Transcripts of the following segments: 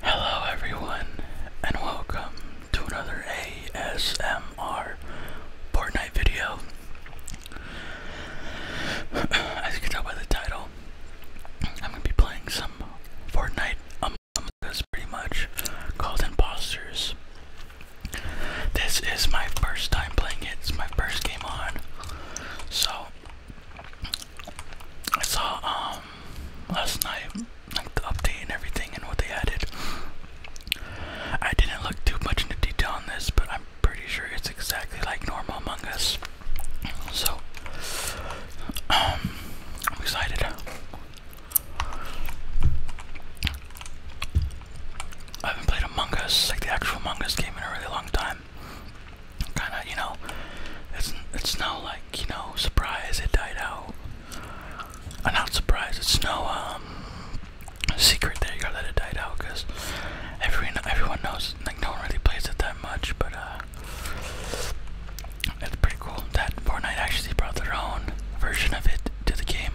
Hello, everyone, and welcome to another ASMR Fortnite video. As you can tell by the title, I'm gonna be playing some Fortnite Among Us pretty much called Imposters. This is my first time playing it, it's my first game on, so I saw um, last night like the update and everything and what they added. I didn't look too much into detail on this, but I'm pretty sure it's exactly like normal Among Us. So um, I'm excited. I haven't played Among Us, like the actual Among Us game in a really long time. Kinda, you know, it's it's now like you know, surprise it died out. I'm uh, not surprised. it's no um, secret there you go that it died out because everyone everyone knows like no one really plays it that much, but uh it's pretty cool that Fortnite actually brought their own version of it to the game.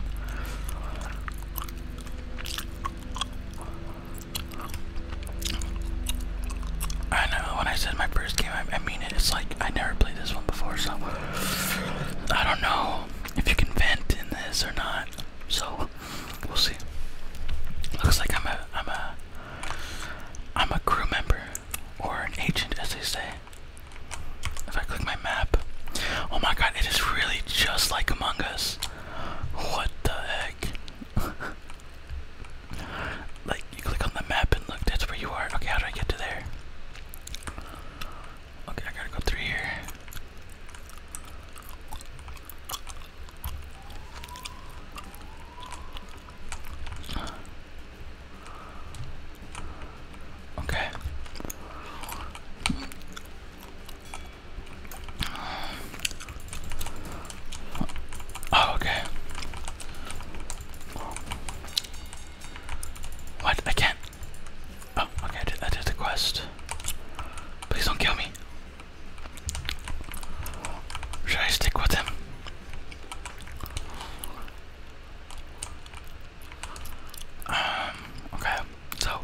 I know when I said my first game, I, I mean it. It's like I never played this one before, so I don't know if you can vent in this or not. So we'll see. Looks like I'm a I'm a I'm a crew member or an agent, as they say. If I click my map, oh my god, it is really just like Among Us. What the heck? Like, you click on the map and look, that's where you are. Okay, how do I get to there? Okay, I gotta go through here. Okay. Oh, okay. What? I can't. Oh, okay, I did, the quest. Please don't kill me. Should I stick with him? Um, okay, so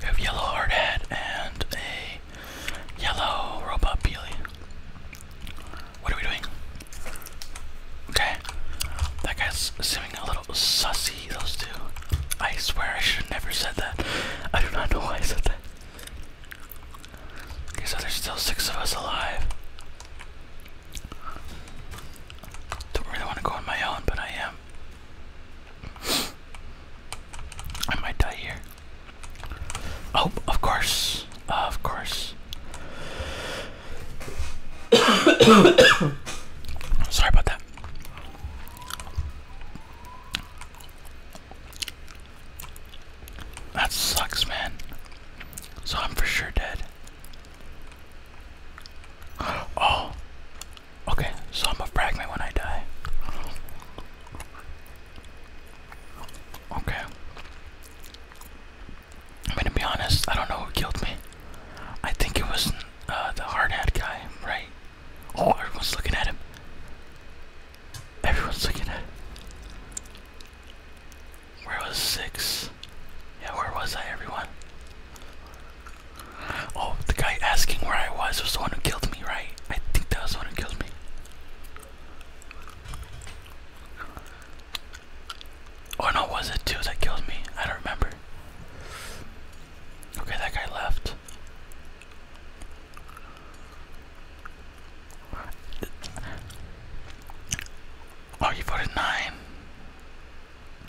we have yellow hard and a yellow robot what are we doing? Okay. That guy's seeming a little sussy, those two. I swear I should never said that. I do not know why I said that. Okay, so there's still six of us alive. Don't really want to go on my own, but I am. I might die here. Oh, of course. of course. Sorry about that. That sucks, man. So I'm for sure dead. Oh. Okay, so I'm a when I die. Okay. I'm gonna be honest, I don't know who killed me. I think it was uh, the hard hat guy, right? Oh, everyone's looking at him. Everyone's looking at him. Where was six? Yeah, where was I, everyone? Oh, the guy asking where I was was the one who killed me, right? I think that was the one who killed me. Oh no, was it two that killed me? I don't remember. Okay, that guy left. Oh, you voted nine.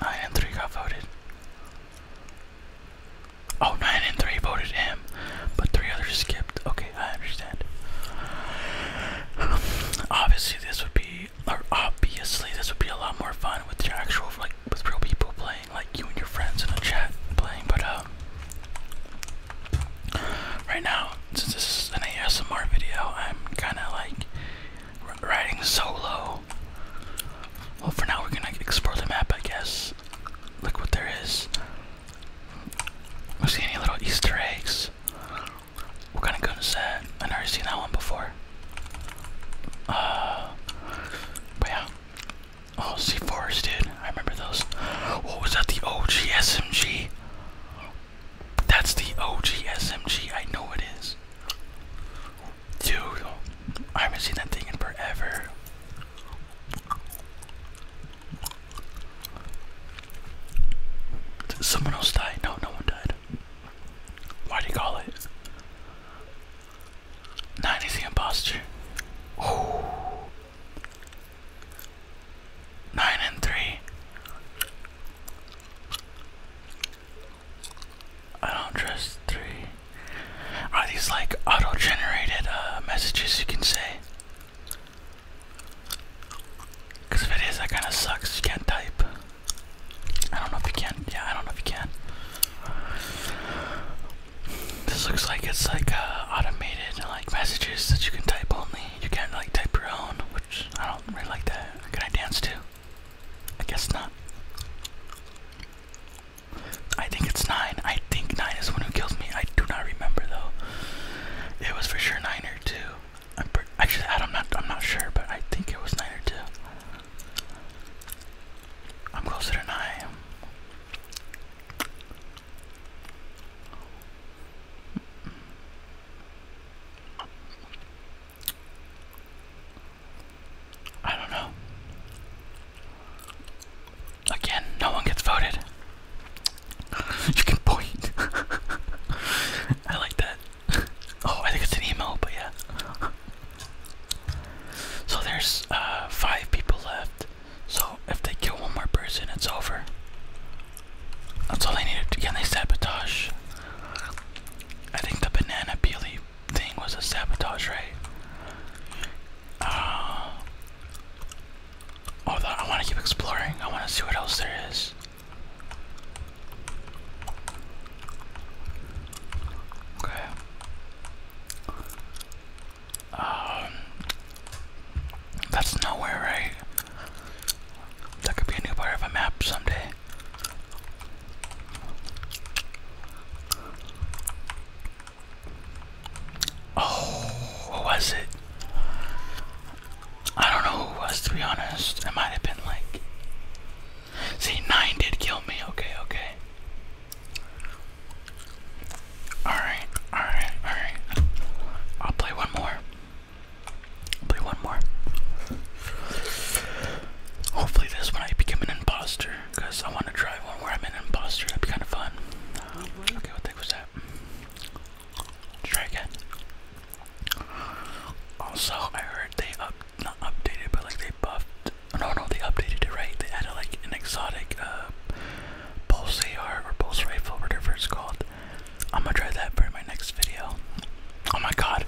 Nine and three got voted. Oh, nine and three voted him, but three others skipped. Okay. I understand. obviously, this would be, or obviously, this would be a lot more fun with your actual, like, with real people playing, like you and your friends in a chat playing. But um, right now, since this is an ASMR video, I'm kind of like riding solo. Well, for now, we're gonna explore the map, I guess. Look what there is. see any little Easter eggs. We're gonna go to set. I've never seen that one before. Uh, but yeah. Oh, C4s, dude. I remember those. What was that? The OG SMG? That's the OG SMG. I know it is. Dude, I haven't seen that thing in forever. Did someone else die? No, no one died. Why'd you call it? 90 the imposter. 9 and 3. I don't trust 3. Are these like auto generated uh, messages you can say? Cause if it is, that kind of sucks. You can't type. I don't know if you can. Yeah, I don't know if you can. This looks like it's like uh, automated, like messages that you can type only. You can't like type your own, which I don't really like that. Can I dance too? I guess not. I think it's nine. I think nine is the one who kills me. I do not remember though. It was for sure nine or two. I'm actually I'm not I'm not sure, but I think it was nine or two. I'm closer to nine. I don't know. Again, no one gets voted. You can point. I like that. Oh, I think it's an email, but yeah. So there's uh, five people left. So if they kill one more person, it's over. That's all they need. To, can they sabotage? I think the banana peely thing was a sabotage, right? Uh, oh, I want to keep exploring. I want to see what else there is. Okay. Um, that's nowhere, right? That could be a new part of a map someday. Oh, what was it? I don't know who was to be honest. It might have been like. See, nine did kill me. Okay, okay. Alright, alright, alright. I'll play one more. play one more. Hopefully, this one I become an imposter because I want to try one where I'm an imposter. That'd be kind of fun. Okay, what the heck was that? try again. Also, I heard they up not updated, but like they buffed. Oh, no, no, they updated it right. They added like an exotic uh, pulse AR or pulse rifle, whatever it's called. I'm gonna try that for my next video. Oh my God,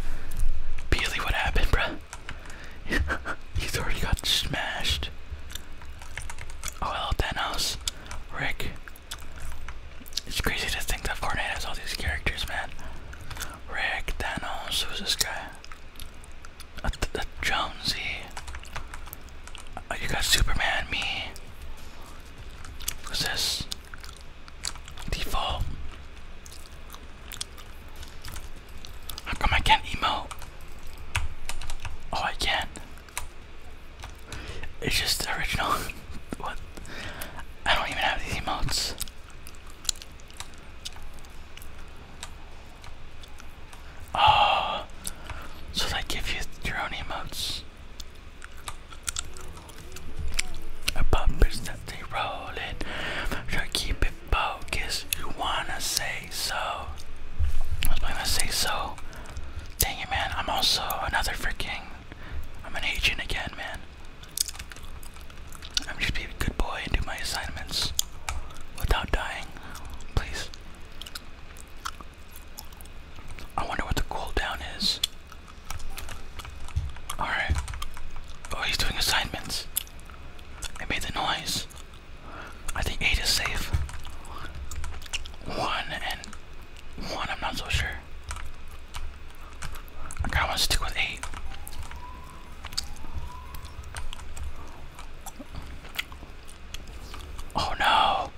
Peely, what happened, bruh? He's already got smashed. Oh, hello, Thanos, Rick. It's crazy to think that Fortnite has all these characters, man. Rick, Thanos, who's this guy? the Jonesy. Uh, you got Superman, me. Who's this? Default. How come I can't emote? Oh, I can. It's just original. what? I don't even have these emotes. Oh, so they give you your own emotes. A bumpers that they roll it. Try keep it focused. You wanna say so? I was gonna say so. Dang it, man! I'm also another freaking I'm an agent again, man. I'm just be a good boy and do my assignments without dying, please. I wonder what the cooldown is. Alright. Oh, he's doing assignments. I made the noise. I think 8 is safe. 1 and 1, I'm not so sure. I kinda to stick with eight. Oh no.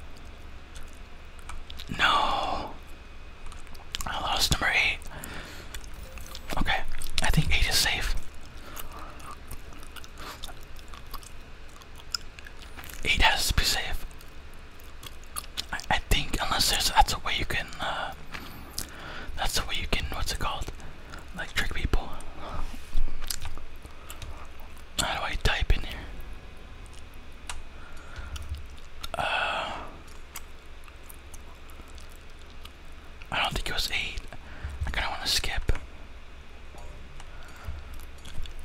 No. I lost number eight. Okay, I think eight is safe. Eight has to be safe. I, think unless there's that's a way you can uh, that's the way you can what's it called like trick people. How do I type in here? Uh, I don't think it was eight. I kind of want to skip.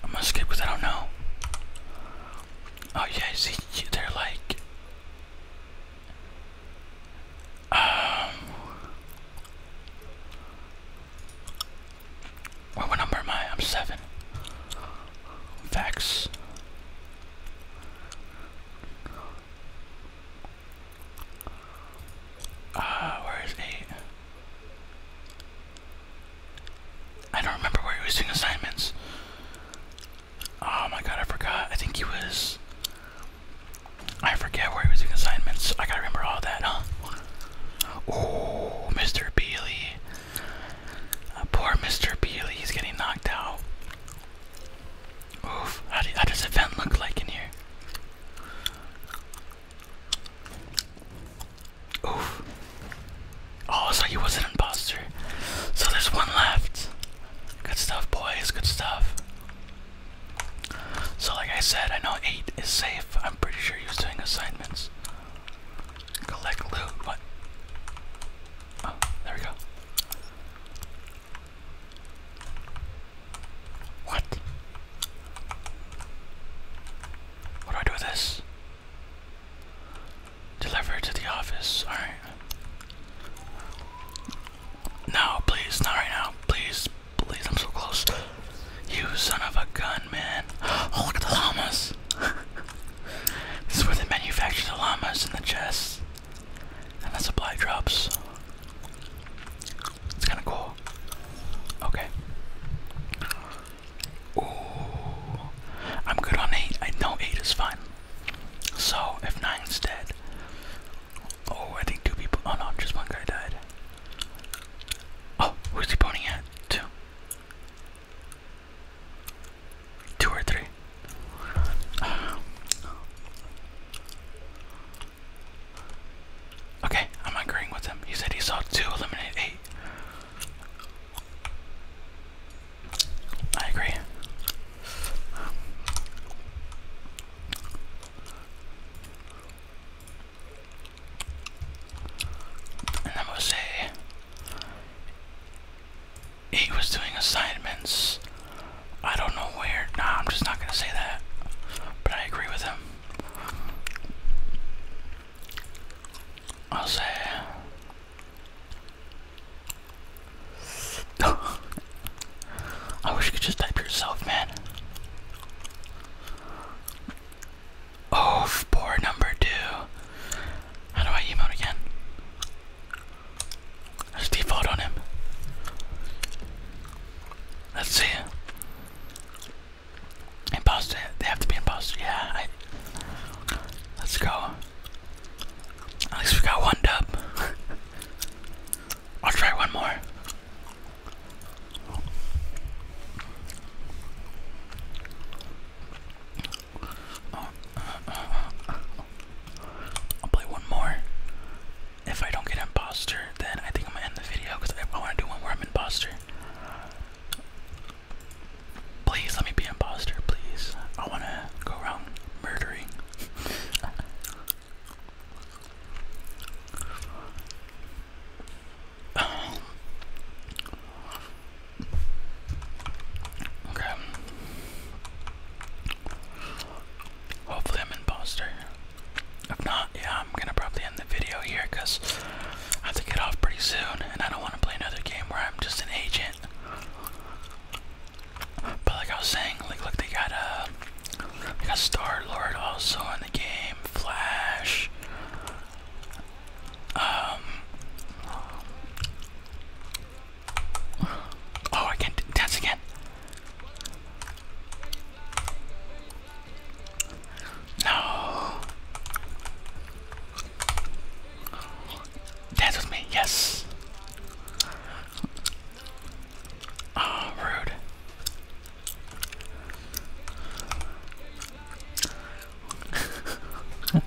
I'm gonna skip because I don't know. Oh yeah, see, they're like, um, what number am I? I'm seven. Facts. Ah, where is eight? I don't remember where he was doing assignments. Oh my god, I forgot. I think he was. I forget where he was doing assignments. I gotta remember all that, Oh, Mr. Beely. Uh, poor Mr. Beely, he's getting knocked out. Oof, how, does the vent look like in here? Oof. Oh, so he was an imposter. So there's one left. Good stuff, boys. Good stuff. So, like I said, I know 8 is safe. I'm pretty sure he was doing assignments. Collect loot. What? Oh, there we go. What? What do I do with this? Deliver to the office. Alright. No, please, not right now. Please, please, I'm so close. You son of a gun, man. Oh, look at the llamas. this is where they manufacture llamas in the chests. And the supply drops. It's kind of cool. Okay. Ooh. I'm good on eight. I know eight is fine. So, if nine's dead, oh, I think two people, oh no, just one guy died. Oh, who's he pointing at? Two. Two or three. okay, I'm agreeing with him. He said he saw two eliminate eight. I agree. And I must say, he was doing assignments. I don't know where. Nah, I'm just not gonna say that. But I agree with him. I'll say I wish you could just type yourself, man. Oh, poor number two. How do I emote again? default on him. Let's see. Imposter. They have to be imposter. Yeah. let's go. At least we got one dub. I'll try one more. I'll play one more. If I don't get imposter, then I think I'm gonna end the video because I want to do one where I'm imposter. Please let me be impostor, please. I wanna go around murdering. okay. Hopefully I'm imposter. If not, yeah, I'm gonna probably end the video here because I have to get off pretty soon and I don't want to play another game where I'm just an agent but like I was saying, like look, they got a, uh, they got Star Lord also in the game, Flash. Um. Oh, I can't dance again. No. Dance with me, yes. Oh, rude.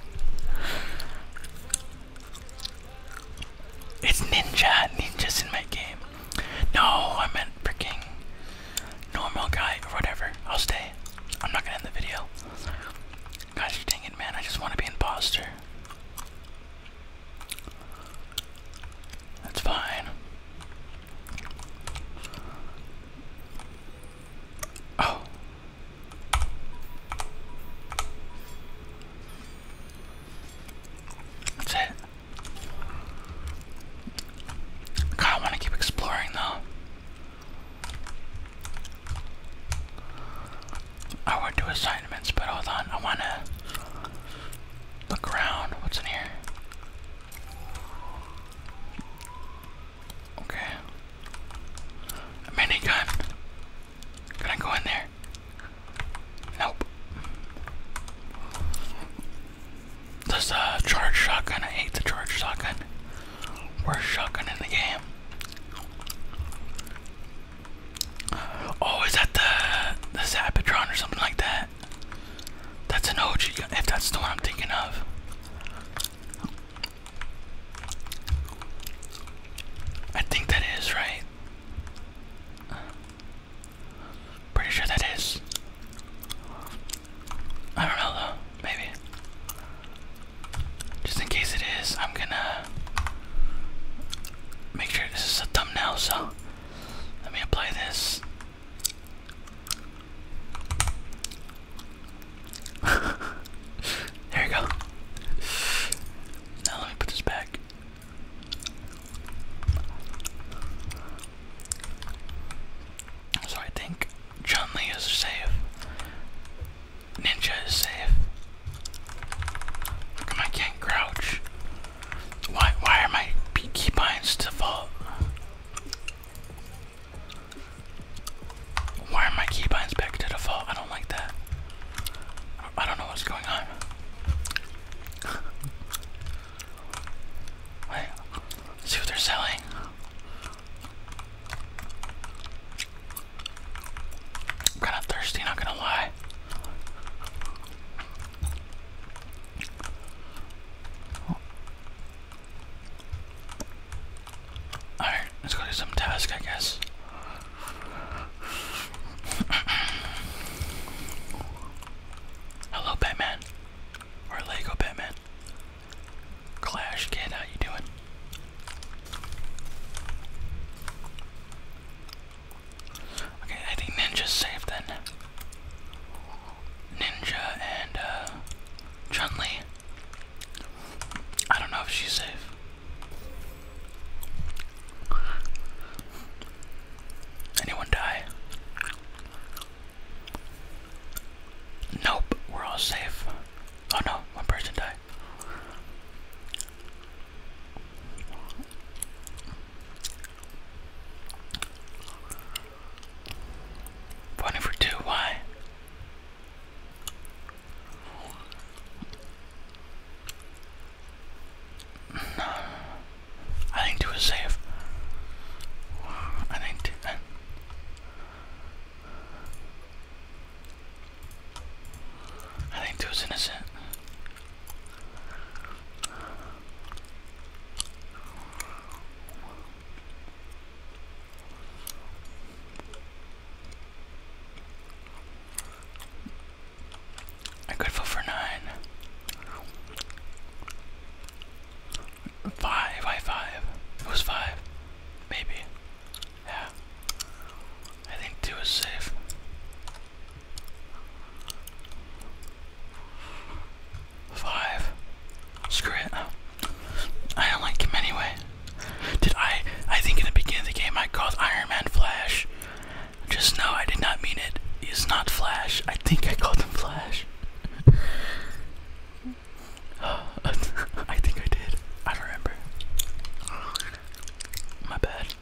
it's ninja, ninjas in my game. No, I meant freaking normal guy or whatever. I'll stay. I'm not gonna end the video. Gosh dang man. I just want to be an imposter. That's fine. Oh. That's it. I want to keep exploring though. I want to do assignments, but hold on, I want to look around. What's in here? Okay. A minigun. Can I go in there? Nope. Does the charge shotgun? I hate the charge shotgun. Worst shotgun in the game. Oh, is that the the Zapatron or something like that? That's an OG if that's the one I'm thinking of. I think that is, right? Pretty sure that is. I don't know though, maybe. Just in case it is, I'm gonna make sure this is a thumbnail, so let me apply this. there you go. Now let me put this back. So I think Chun Li is safe. Ninja is safe. I can't crouch? Why why are my keybinds default? Why are my keybinds back to default? I don't like that. I don't know what's going on. Wait, see what they're selling. I'm kind of thirsty, not gonna lie. Alright, let's go do some task, I guess. Hello, Batman. Or Lego Batman. Clash Kid, how you doing? Okay, I think Ninja's safe then. Ninja and uh, I don't know if she's safe. Anyone die? Nope, we're all safe. Oh no, one person died. One over two, why? No, I think it was safe. I think I think is innocent. I could vote for nine. Five, why five? It was five. Maybe. Yeah. I think two is safe. Five. Screw it. I don't like him anyway. Did I? I think in the beginning of the game I called Iron Man Flash. Just no, I did not mean it. He is not Flash. I think I called him Flash. I think I did. I remember. My bad.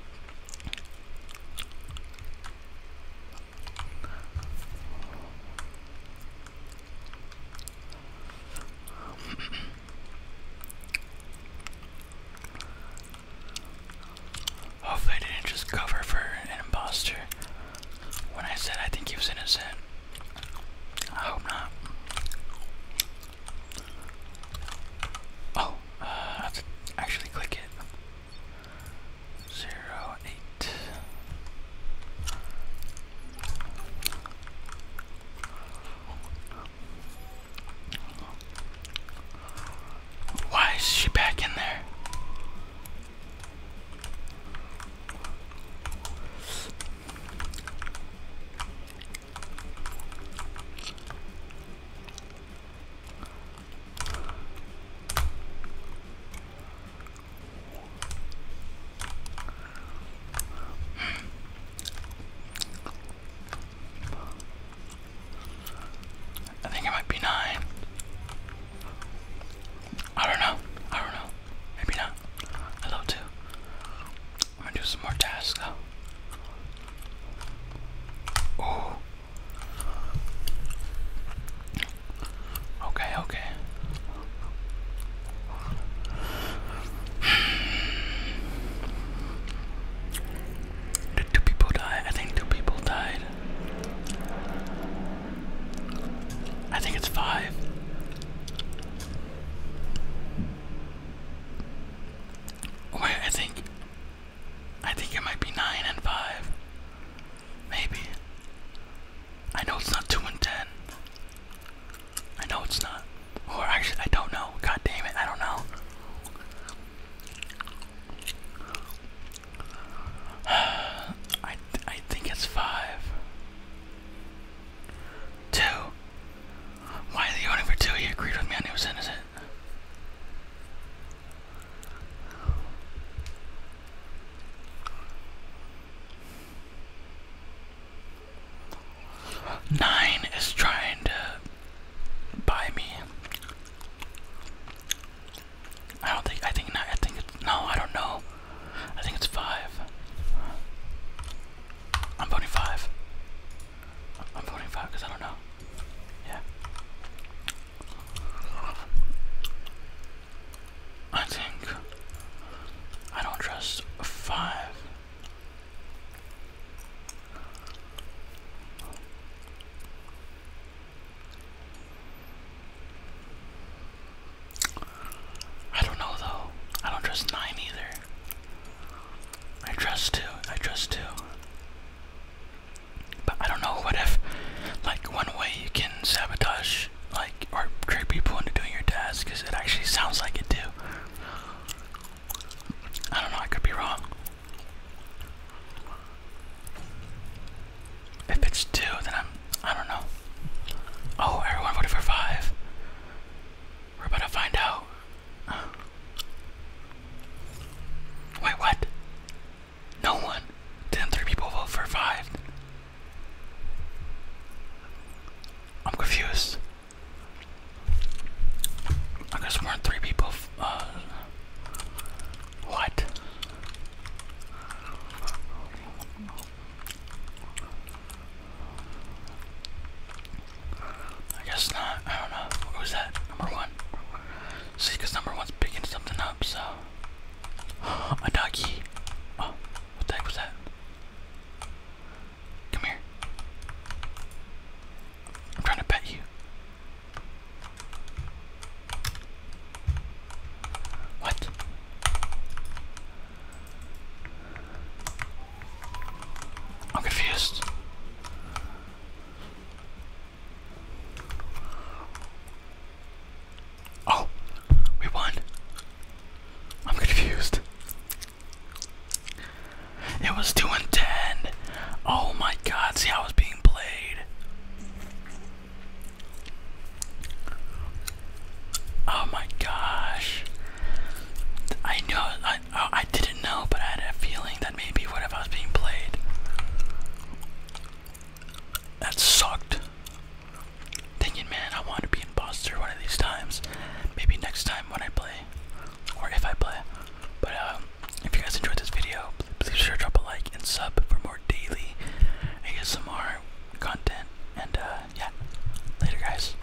Hopefully, I didn't just cover for an imposter when I said I think he was innocent. I hope not. Oh, uh, I have to actually click it. Zero eight. Why is she back in there? I think it might be nine. I don't know. I don't know. Maybe not. Hello, too. I'm do some more tasks though. Okay, okay. Did two people die? I think two people died. I think it's five. Wait, I think I think it might be nine and five. Maybe. I know it's not two and ten. I know it's not. Or actually I don't know. God damn it, I don't know. I I think it's five. Two. Why the only for two? He agreed with me and he was innocent. Nine is trying to buy me. I don't think. I think I think it's no. I don't know. I think it's five. I'm voting five. I'm voting for because I don't know. Yeah. I think I don't trust five. I don't know though. I don't trust nine either. I trust two. I trust two. But I don't know. What if, like, one way you can sabotage, like, or trick people into doing your task? Because it actually sounds like it do. I don't know. I could be wrong. If it's two, then I'm. I don't know. Oh, everyone voted for five. We're about to find out. Wait, what? No one. did people vote for five? I'm confused. I guess more than three people. Uh, what? I guess not. I don't know. What was that? Number one. See, number one's picking something up, so. A doggy. Oh, what the heck was that? Come here. I'm trying to pet you. What? I'm confused. Oh, we won. I'm confused. It was 2 and 10. Oh my god, see how it's being played. Oh my gosh. I knew Oh, I, didn't know, but I had a feeling that maybe what if I was being played? That sucked. Thinking, man, I want to be imposter one of these times. Maybe next time when I play, or if I play. But um, if you guys enjoyed this video, please sure to drop a like and sub for more daily ASMR content. And uh, yeah, later, guys.